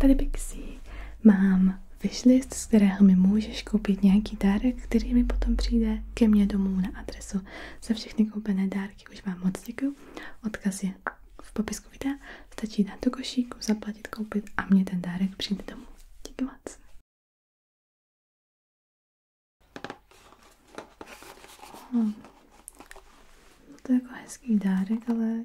Tady Pixie mám wishlist, z kterého mi můžeš koupit nějaký dárek, který mi potom přijde ke mně domů na adresu. Za všechny koupené dárky už vám moc děkuju. Odkaz je v popisku videa. Stačí dát do košíku, zaplatit, koupit a mě ten dárek přijde domů. Díky moc. Hmm. To je jako hezký dárek, ale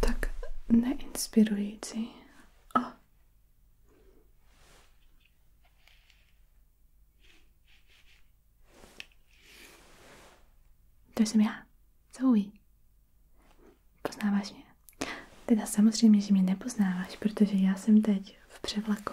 Tak neinspirující. Oh. To jsem já, Zoe. Poznáváš mě? Teda samozřejmě, že mě nepoznáváš, protože já jsem teď v převlaku.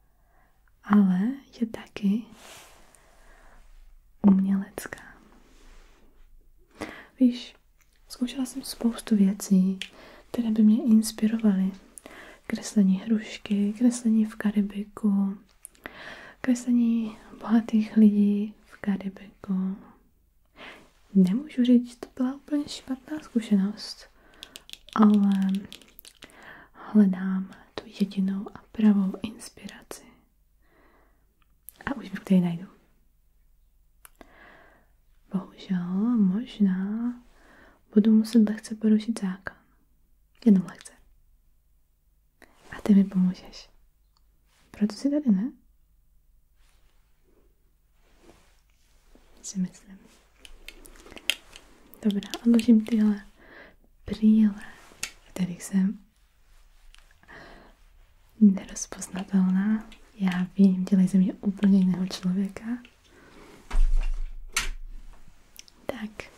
ale je taky umělecká. Víš, zkoušela jsem spoustu věcí, které by mě inspirovaly. Kreslení hrušky, kreslení v Karibiku, kreslení bohatých lidí v Karibiku. Nemůžu říct, to byla úplně špatná zkušenost, ale hledám tu jedinou a pravou inspiraci. A už kde ji najdu. Bohužel možná budu muset lehce porušit zákon. Jenom lehce. A ty mi pomůžeš. Proto si tady, ne? Si myslím. Dobrá, odložím tyhle brýle, v kterých jsem nerozpoznatelná. Já vím, dělají ze mě úplně jiného člověka. Tak.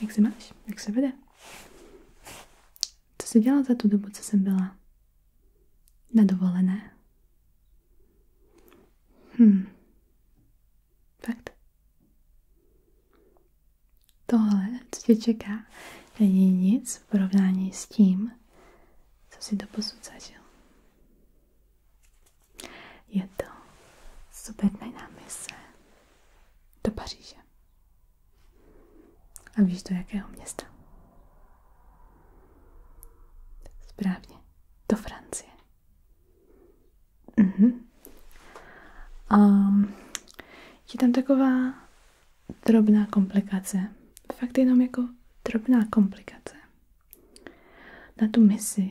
Jak se máš? Jak se vede? Co jsi dělala za tu dobu, co jsem byla na Hm. Fakt. Tohle, co tě čeká, není nic v porovnání s tím, co si doposud zažil. Je to super sobetná mise do Paříže. A víš do jakého města? Správně, do Francie. Mhm. A je tam taková drobná komplikace. Fakt jenom jako drobná komplikace. Na tu misi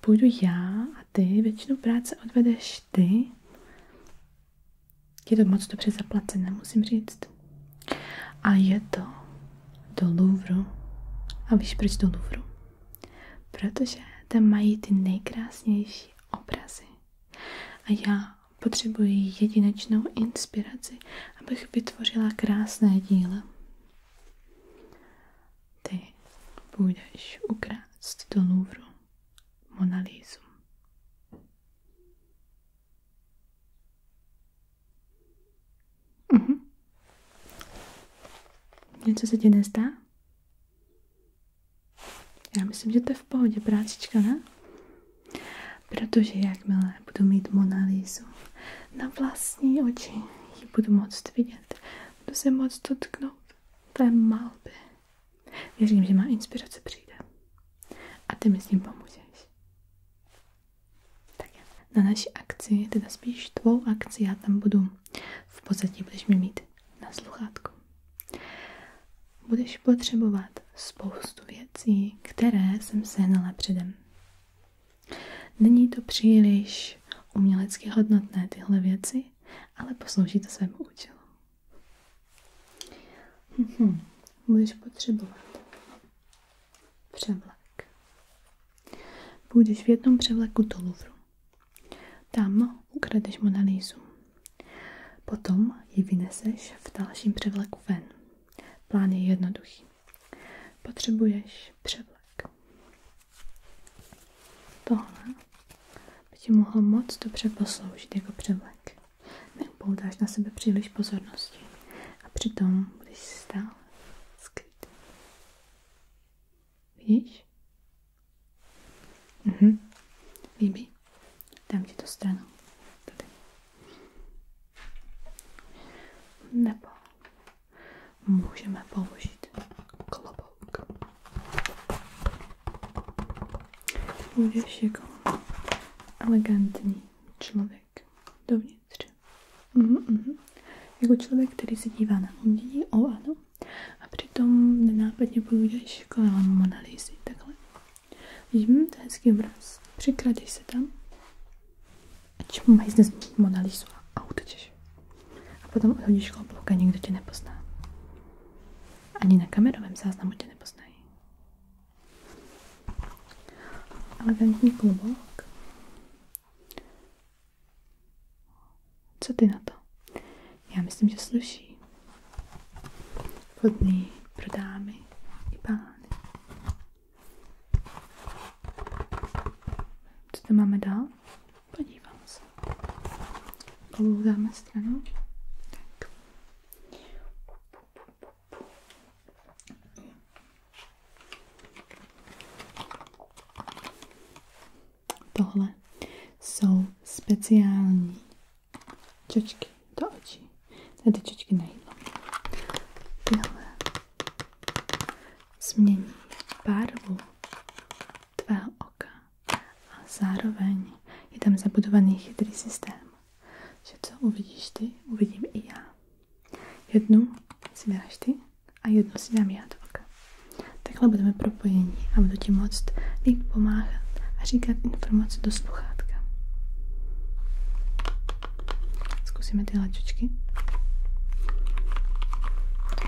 půjdu já a ty, většinu práce odvedeš ty. Je to moc dobře zaplacené, musím říct. A je to do Louvru. A víš proč do Louvru? Protože tam mají ty nejkrásnější obrazy. A já potřebuji jedinečnou inspiraci, abych vytvořila krásné díla. Ty půjdeš ukrást do Louvru Monalízu. Mhm. huh Něco se ti nezdá? Já myslím, že to je v pohodě, prácička, ne? Protože jakmile budu mít Monalízu na vlastní oči, ji budu moc vidět, budu se moct dotknout té malby. Věřím, že má inspirace přijde. A ty mi s ním pomůžeš na naší akci, teda spíš tvou akci, já tam budu v pozadí, budeš mi mít na sluchátku. Budeš potřebovat spoustu věcí, které jsem sehnala předem. Není to příliš umělecky hodnotné tyhle věci, ale poslouží to svému účelu. Mhm. Budeš potřebovat Převlek. Půjdeš v jednom převleku do Louvru. Tam ukradeš Monalízu. Potom ji vyneseš v dalším převleku ven. Plán je jednoduchý. Potřebuješ převlek. Tohle by ti mohlo moc dobře posloužit jako převlek. Neupoutáš na sebe příliš pozornosti a přitom budeš stál skryty. Widzisz? Mhm. Bibi, dam ci to stroną. Tutaj. Nebo musimy położyć klobok. Uwierz się człowiek. člověk dovnitř. Mm, mm. Jako člověk, který se dívá na umění, o ano, a přitom nenápadně půjdeš kolem monalýzy, takhle. Vidím, hm, to je hezký obraz. Přikradeš se tam a čumají zde monalýzu a utečeš. A potom odhodíš klobouk a nikdo tě nepozná. Ani na kamerovém záznamu tě nepoznají. Elegantní klobouk. Co ty na to? Já myslím, že sluší. Vhodný pro dámy i pány. Co to máme dál? Podívám se. Klobouk dáme stranou. Tak. Tohle jsou speciální čočky do očí. To ty čočky na jídlo. Tyhle změní barvu tvého oka a zároveň je tam zabudovaný chytrý systém, že co uvidíš ty, uvidím i já. Jednu si dáš ty a jednu si dám já do oka. Takhle budeme propojení a budu ti moct líp pomáhat a říkat informace do sluchátka. Zkusíme ty laťočky.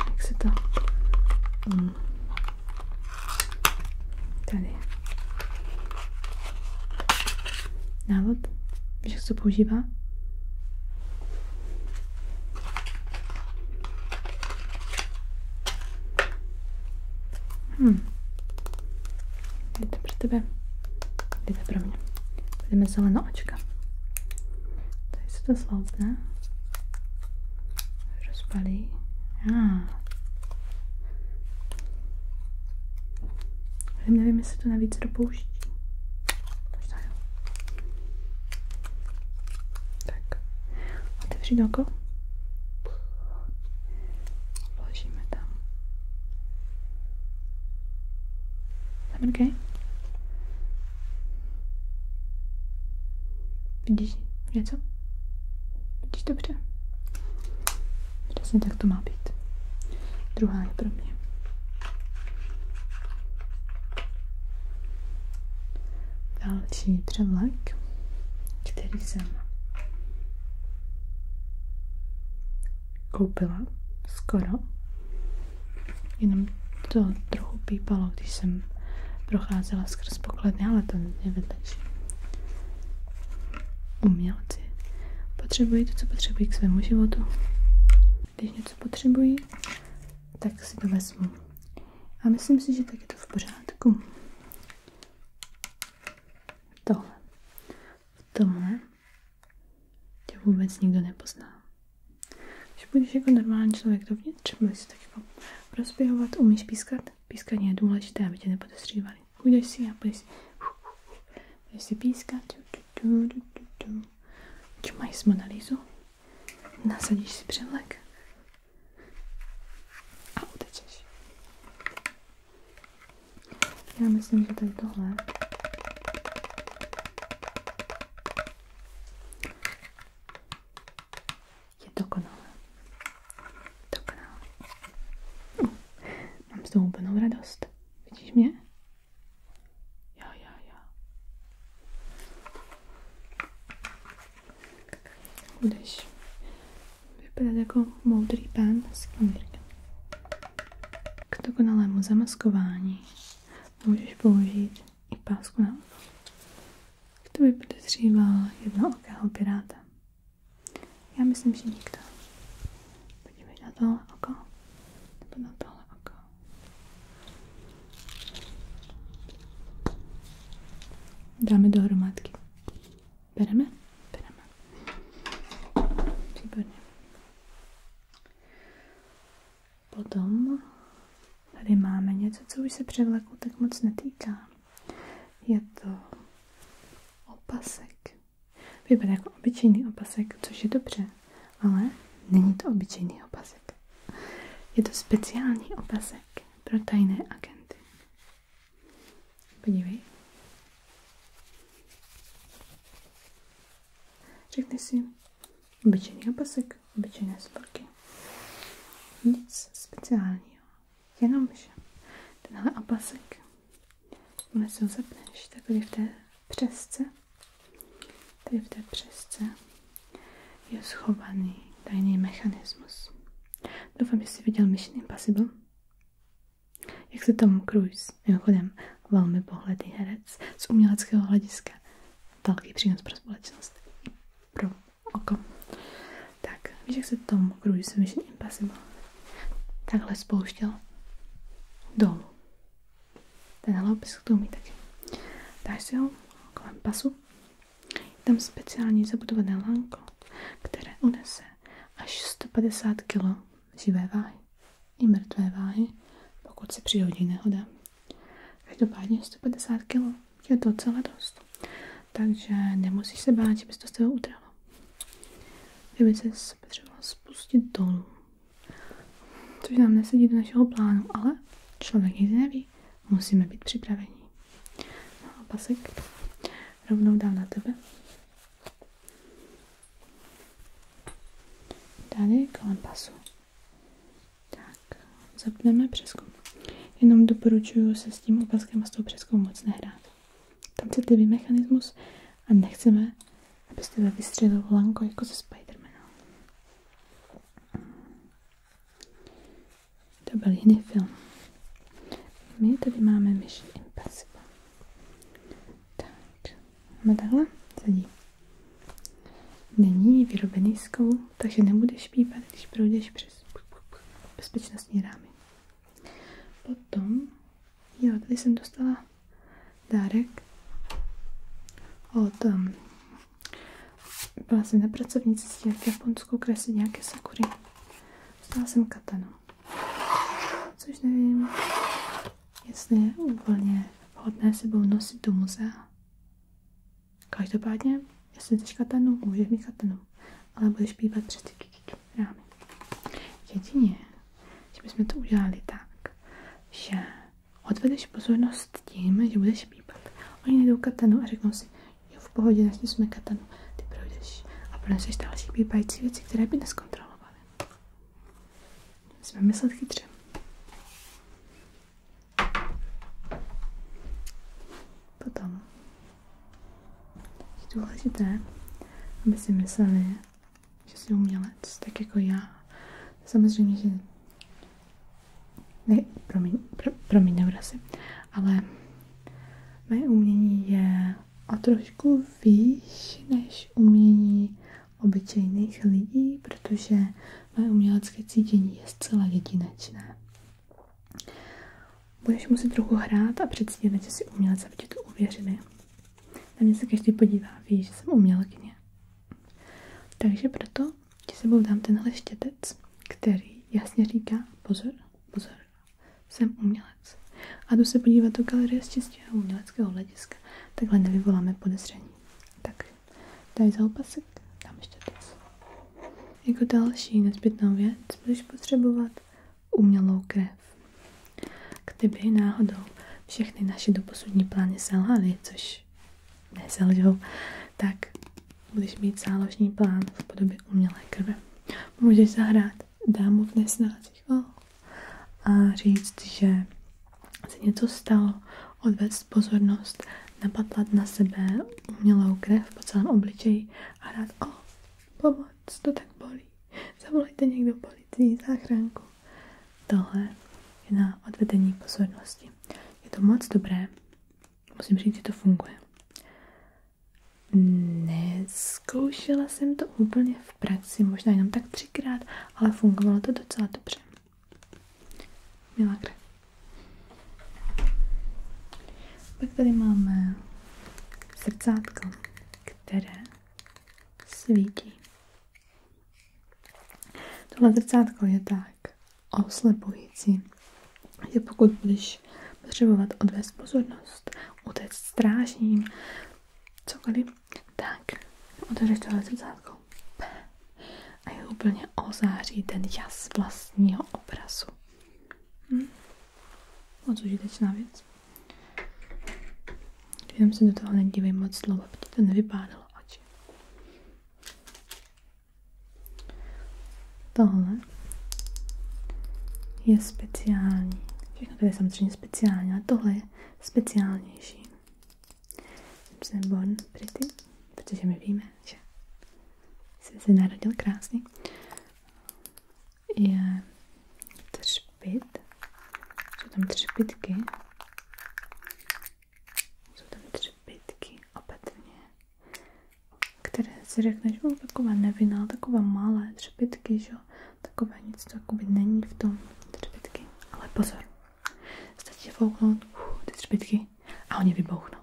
Jak se to... Um, tady. Návod? Víš, jak se to používá? Hmm. Je to pro tebe. Je to pro mě. Budeme zelená očka. Tady se to sloupne. Rozpalí. Ah. Já nevím, jestli to navíc dopouští. Možná jo. Tak, otevřít oko. Položíme tam. Zamrkej. Vidíš něco? Vidíš dobře? Přesně tak to má být. Druhá je pro mě. Další převlek, který jsem koupila skoro. Jenom to trochu pípalo, když jsem procházela skrz pokladny, ale to je vedlejší umělci potřebují to, co potřebují k svému životu. Když něco potřebují, tak si to vezmu. A myslím si, že tak je to v pořádku. Tohle. V tomhle tě vůbec nikdo nepozná. Když budeš jako normální člověk dovnitř, budeš si tak jako rozběhovat, umíš pískat. Pískání je důležité, aby tě nepodestřívali. Kde si já, budeš si, budeš si pískat. Tu, tu, tu, s Monalízu. Nasadíš si převlek. A utečeš. Já myslím, že tady tohle je dokonalé. Dobrá. Uh, mám z toho úplnou radost. Vidíš mě? Jo, jo, jo. Budeš jako moudrý pán z knížek. zamaskování můžeš použít i pásku na oko. K to by podezříval jednookého piráta. Já myslím, že nikdo. Podívej na to oko. Nebo na tohle oko. Dáme dohromádky. Bereme? Bereme. Výborně. Potom tady máme něco, co už se převleku tak moc netýká. Je to opasek. Vypadá jako obyčejný opasek, což je dobře, ale není to obyčejný opasek. Je to speciální opasek pro tajné agenty. Podívej. Řekni si, obyčejný opasek, obyčejné sporky. Nic speciálního jenomže tenhle opasek, jakmile si ho zapneš, tady v té přesce, tady v té přesce je schovaný tajný mechanismus. Doufám, že jsi viděl Mission Impossible. Jak se Tom Cruise, mimochodem velmi pohledný herec, z uměleckého hlediska velký přínos pro společnost pro oko. Tak, víš, jak se tomu Cruise Mission Impossible takhle spouštěl dolů. Tenhle opis to tomu taky. Dáš si ho kolem pasu. Je tam speciální zabudované lanko, které unese až 150 kg živé váhy i mrtvé váhy, pokud se přihodí nehoda. Každopádně 150 kg je docela dost, takže nemusíš se bát, že bys to s tebou utrhlo že by se potřeboval spustit dolů. Což nám nesedí do našeho plánu, ale člověk nikdy neví. Musíme být připraveni. No a pasek rovnou dám na tebe. Tady kolem pasu. Tak, zapneme přeskum. Jenom doporučuju se s tím opaskem a s tou přeskou moc nehrát. Tam se mechanismus a nechceme, aby z tebe vystřelil lanko jako ze Spidermana. To byl jiný film. My tady máme myši Impossible. Tak, máme takhle, sedí. Není vyrobený z takže nebudeš pípat, když proudíš přes bezpečnostní rámy. Potom, jo, tady jsem dostala dárek od, um, byla jsem na pracovní cestě v Japonsku kreslit nějaké sakury. Dostala jsem katanu, což nevím, jestli je úplně vhodné sebou nosit do muzea. Každopádně, jestli chceš katanu, můžeš mít katanu ale budeš pívat přes ty rámy. Jedině, že bychom to udělali tak, že odvedeš pozornost tím, že budeš pípat. Oni najdou katanu a řeknou si, jo, v pohodě, našli jsme katanu, ty projdeš a proneseš další pípající věci, které by neskontrolovaly. Musíme myslet chytře. Potom je důležité, aby si mysleli, že jsi umělec, tak jako já. Samozřejmě, že ne, promiň, pro, promiň nevrasi, ale mé umění je o trošku výš než umění obyčejných lidí, protože mé umělecké cítění je zcela jedinečné. Budeš muset trochu hrát a předstírat, že jsi umělec, aby ti to uvěřili. Na mě se každý podívá, ví, že jsem umělkyně. Takže proto ti sebou dám tenhle štětec, který jasně říká, pozor, pozor, jsem umělec. A jdu se podívat do galerie z čistého uměleckého hlediska. Takhle nevyvoláme podezření. Tak, daj za opasek, dám štětec. Jako další nezbytnou věc budeš potřebovat umělou krev. Kdyby náhodou všechny naše doposudní plány selhaly, což neselžou, tak budeš mít záložní plán v podobě umělé krve. Můžeš zahrát dámu v nesnázích oh, a říct, že se něco stalo, odvést pozornost, napatlat na sebe umělou krev po celém obličeji a rád, o, pomoc, to tak bolí, zavolejte někdo policii, záchranku. Tohle je na odvedení pozornosti. Je to moc dobré, musím říct, že to funguje. Neskoušela jsem to úplně v praxi, možná jenom tak třikrát, ale fungovalo to docela dobře. Milá krev. Pak tady máme srdcátko, které svítí. Tohle srdcátko je tak oslepující, že pokud budeš potřebovat odvést pozornost, utéct strážním, cokoliv, tak otevřeš tohle srdcátko a je úplně ozáří ten jas vlastního obrazu. Hm. Moc užitečná věc. Jenom se do toho nedívej moc dlouho, aby ti to nevypádalo oči. Tohle je speciální. Všechno to je samozřejmě speciální, ale tohle je speciálnější. Jsem Bon Pretty protože my víme, že jsi se narodil krásně, je třpit, jsou tam třpitky, jsou tam třpitky opatrně, které si řekneš, že taková nevinná, taková malé třpitky, že takové nic to není v tom třpitky, ale pozor, stačí fouknout uh, ty třpitky a oni vybouchnou.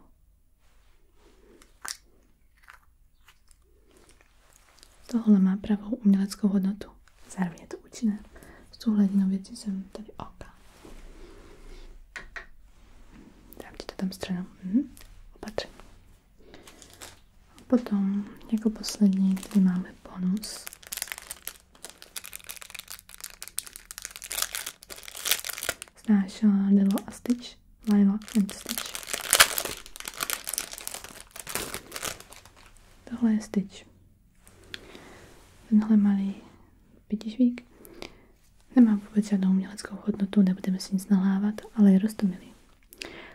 Tohle má pravou uměleckou hodnotu. Zároveň je to účinné. S tou hladinou věci jsem tady oka. Dám ti to tam stranou. Mhm. Opatření. A potom, jako poslední, tady máme bonus. Snášela eh, Delo a Stitch. Lilac and Stitch. Tohle je Stitch. Tenhle malý pětišvík nemá vůbec žádnou uměleckou hodnotu, nebudeme si nic nalávat, ale je roztomilý.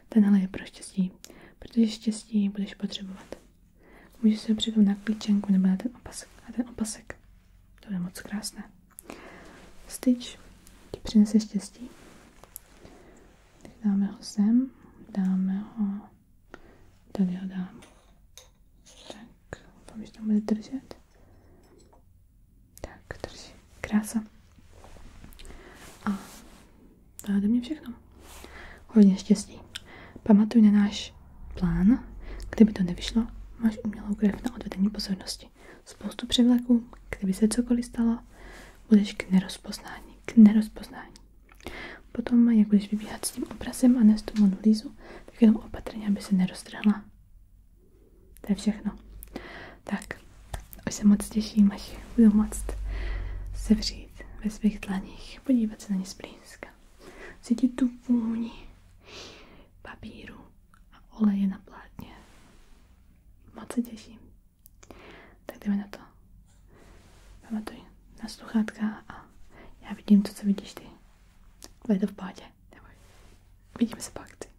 Tenhle je pro štěstí, protože štěstí budeš potřebovat. Můžeš se ho na klíčenku nebo na ten opasek. A ten opasek, to je moc krásné. Styč ti přinese štěstí. Tak dáme ho sem, dáme ho, tady ho dám. Tak, doufám, že tam bude držet. Tak, drží. Krása. A to je ode mě všechno. Hodně štěstí. Pamatuj na náš plán. Kdyby to nevyšlo, máš umělou krev na odvedení pozornosti prostě spoustu převleků, kdyby se cokoliv stalo, budeš k nerozpoznání, k nerozpoznání. Potom, jak budeš vybíhat s tím obrazem a nést tu monolízu, tak jenom opatrně, aby se neroztrhla. To je všechno. Tak, už se moc těším, až budu moc sevřít ve svých dlaních, podívat se na ně zblízka, cítit tu vůni papíru, a oleje na plátně. Moc se těším. Tak jdeme na to. Pamatuj na sluchátka a já vidím to, co vidíš ty. Bude to v pádě. Neboj. Vidíme se pak.